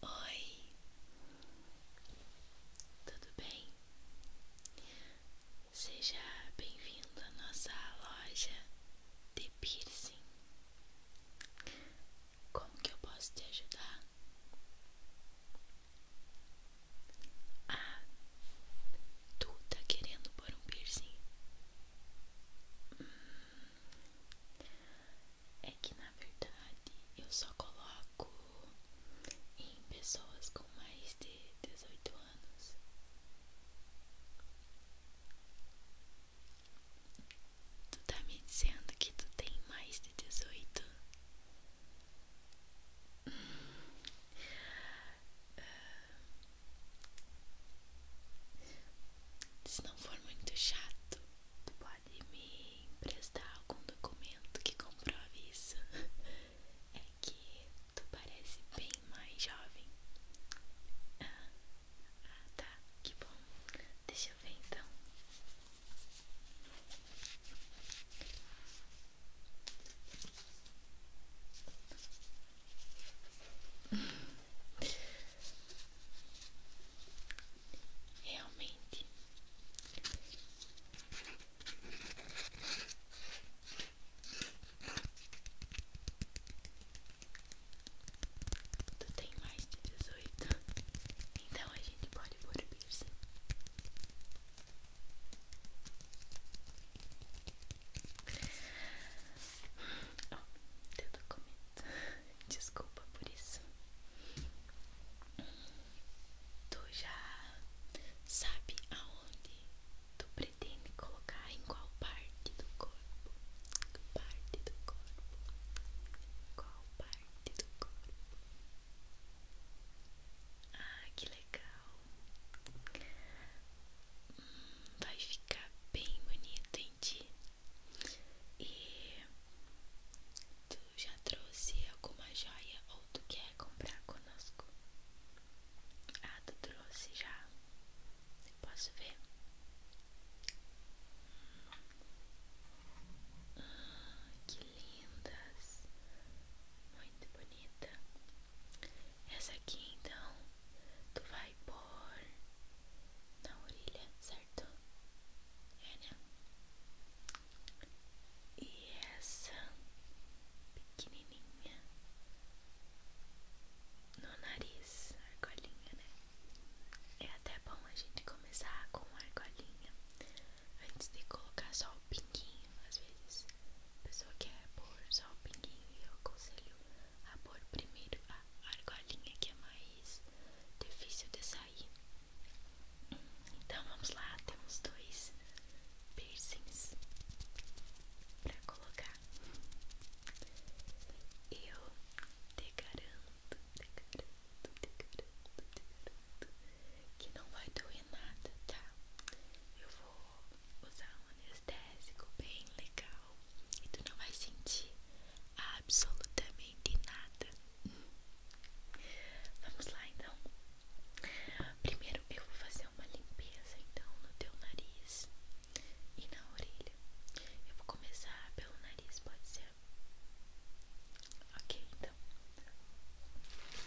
Oi, tudo bem? Seja bem-vindo à nossa loja de piercing. Como que eu posso te ajudar? Ah, tu tá querendo pôr um piercing? Hum, é que na verdade eu só coloco em pessoas com mais de 18 anos. Tu tá me dizendo que tu tem mais de 18? Ah, se não for muito chato, tu pode me emprestar algum documento que comprove isso. É que tu parece bem mais jovem. Ah, ah tá, que bom. Deixa eu ver então. Realmente tu tem mais de dezoito, então a gente pode pôr piercing. Oh, eu tô Desculpa por isso. Tu já sabe aonde tu pretende colocar, em qual parte do corpo? Parte do corpo. Qual parte do corpo? Ah, que legal. Hum, vai ficar bem bonito em E tu já trouxe alguma joia ou tu quer comprar conosco? Ah, tu trouxe já. Eu posso ver? Ah, que lindas. Muito bonita. Essa aqui então, tu vai pôr na orelha, certo? É, né? E essa pequenininha no nariz, argolinha, né? É até bom a gente começar com a argolinha antes de colocar só o pinguinho, às vezes pessoa quer é pôr só o pinguinho, eu aconselho a pôr primeiro a argolinha que é mais difícil de sair. Então vamos lá, temos dois piercings pra colocar. Eu te garanto, te garanto, te garanto, te garanto que não vai doer nada, tá? Eu vou usar um anestésico bem legal e tu não vai sentir absolutamente nada. Vamos lá então. Primeiro eu vou fazer uma limpeza então no teu nariz e na orelha. Eu vou começar pelo nariz, pode ser? Ok, então.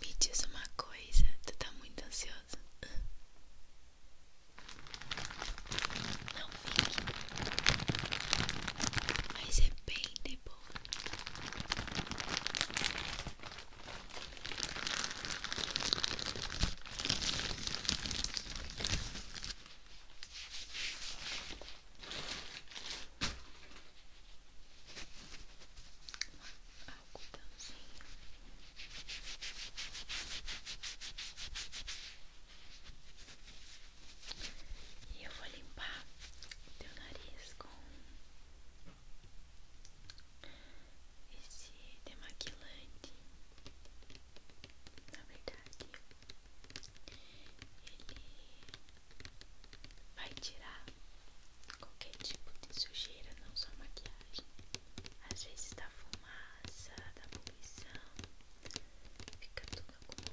Me diz uma coisa, tu tá muito ansiosa. Não fique, mas é bem de boa. E eu vou limpar teu nariz com esse demaquilante, na verdade, ele vai tirar qualquer tipo de sujeira, não só maquiagem. Às vezes da fumaça, da poluição, fica tudo acumulado.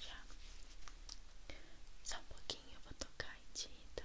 Já. Só um pouquinho eu vou tocar em ti, tá?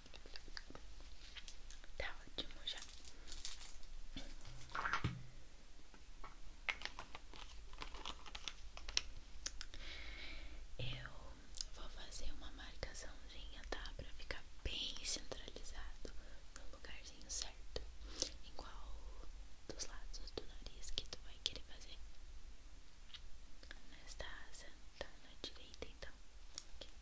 Tá ótimo já. Eu vou fazer uma marcaçãozinha, tá? Pra ficar bem centralizado no lugarzinho certo. Em qual dos lados do nariz que tu vai querer fazer? Nesta asa, tá na direita então. Okay.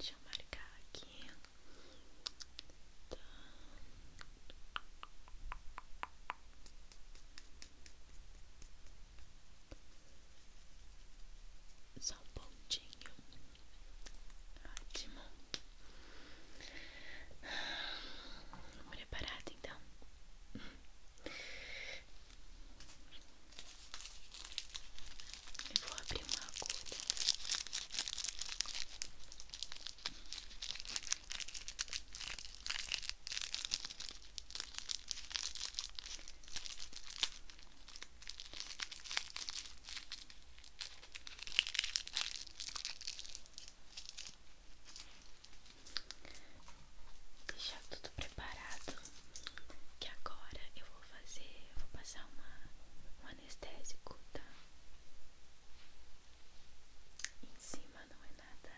Deixa eu marcar aqui. Tá. Só um pontinho. Ótimo. Preparado então. Eu vou abrir uma agulha. Deixar tudo preparado. Que agora eu vou fazer, vou passar uma anestésico, tá? Em cima não é nada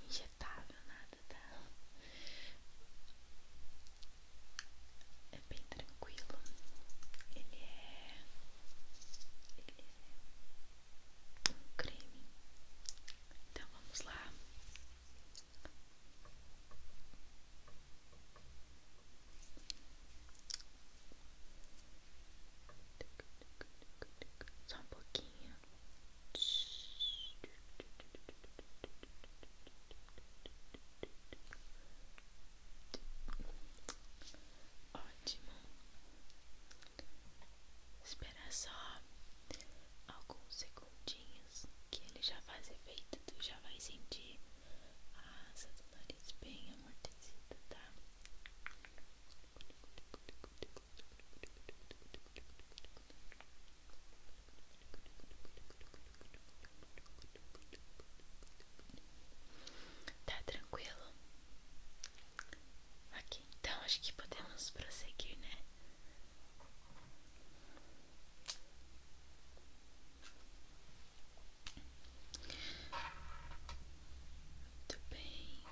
injetável, nada, tá? É bem tranquilo. Ele é. Ele é um creme. Então vamos lá. Só um pouquinho. Ótimo. Espera só alguns segundinhos que ele já faz efeito, tu já vai sentir a asa bem amortecido, tá? Tá tranquilo? aqui então acho que podemos prosseguir, né? Muito bem.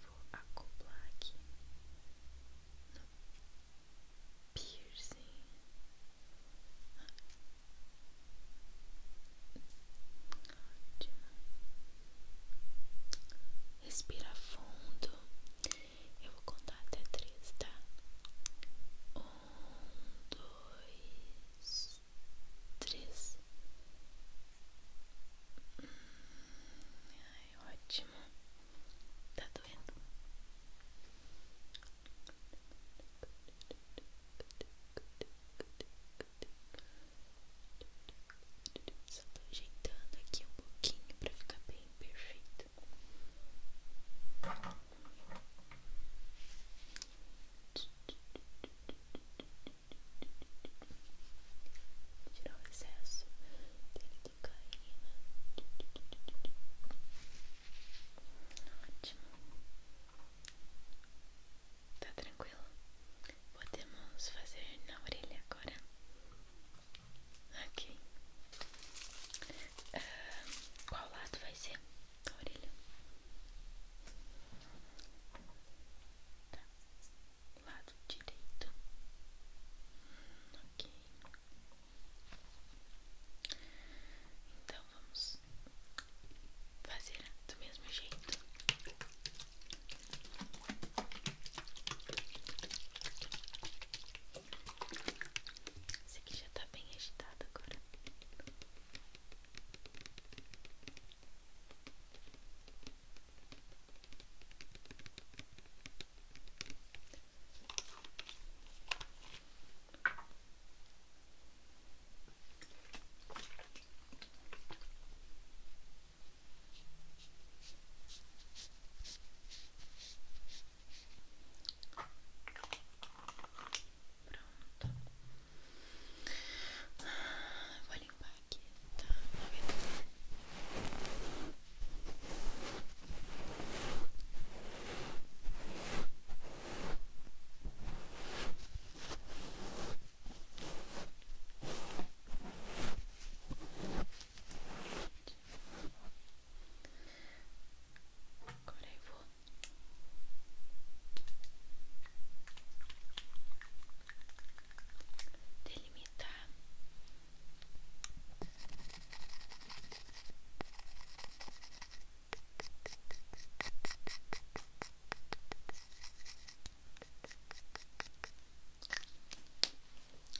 Vou acoplar aqui no piercing. Respira fundo eu vou contar até três, tá? Um, dois, três. Hum, ai, ótimo. Tá doendo. Só tô ajeitando aqui um pouquinho pra ficar bem perfeito. Tirar o excesso dele do caína. Né? Ótimo. Tá tranquilo? Podemos fazer na orelha agora. Ok. Uh, qual lado vai ser a orelha? Tá. Lado direito. Ok. Então vamos fazer do mesmo jeito. Esse aqui já tá bem agitado agora. Pronto. Eu vou limpar aqui, tá? Agora vou delimitar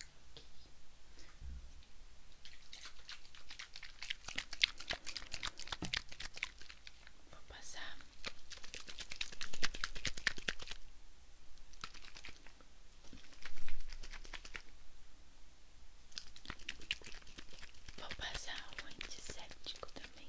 Vou passar Vou passar o um antisséptico também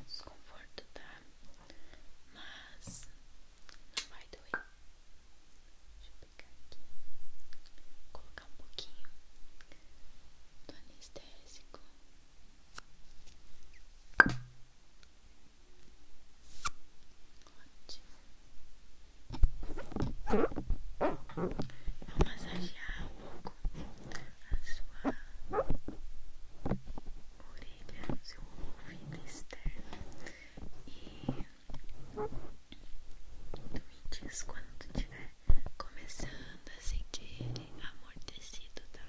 desconforto, tá? Mas não vai doer. Deixa eu pegar aqui. Colocar um pouquinho do anestésico. Ótimo. Vou massagear um pouco a sua orelha, seu ouvido externo e tu me diz quando tu tiver começando a sentir amortecido, tá?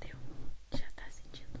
Deu? Já tá sentindo?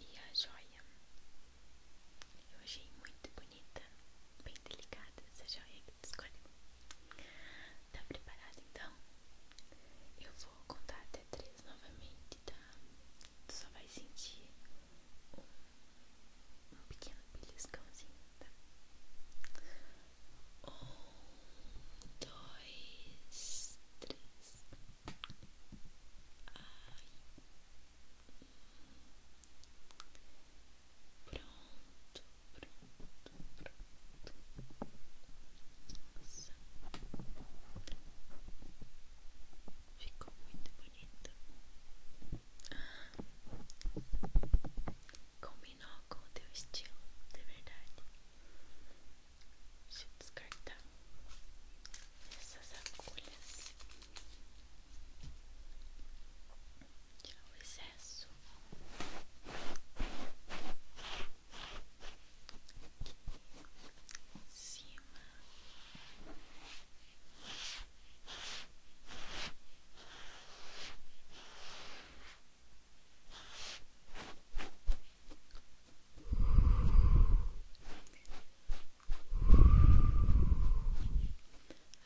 E a joia. Eu achei muito bonita, bem delicada essa joia que tu escolheu. Tá preparada então? Eu vou contar até três novamente, tá? só vai sentir um, pequeno beliscãozinho, tá? Um, dois, três. Pronto, pronto, pronto. Nossa. Ficou muito bonito. Combinou com o teu estilo, de verdade. Deixa descartar essas agulhas. Tirar o excesso. Em cima.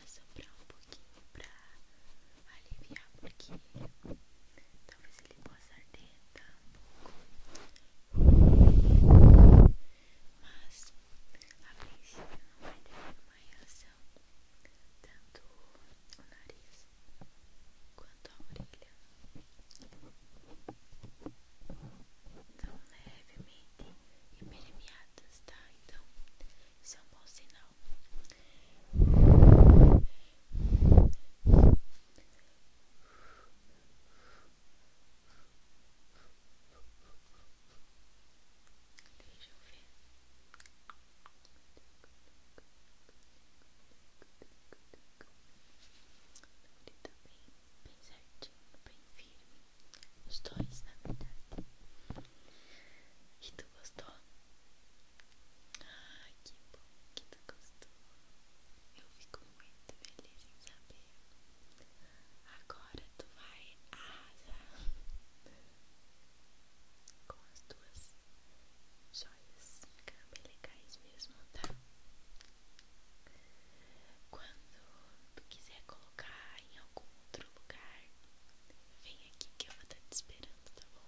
Assoprar um pouquinho pra aliviar, porque talvez ele possa arder tá, um pouco. Mas a princípio não vai ter nenhuma reação, tanto o nariz quanto a orelha. São levemente impermeadas, tá? Então, isso é um bom sinal. Deixa eu ver bem certinho, bem firme. Os dois, na verdade. E tu gostou? Ah, que bom que tu gostou. Eu fico muito feliz em saber. Agora tu vai arrasar com as tuas joias. Ficaram bem legais mesmo, tá? Quando tu quiser colocar em algum outro lugar, vem aqui que eu vou estar te esperando, tá bom?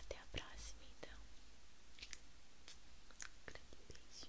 Até a próxima, então. grande beijo.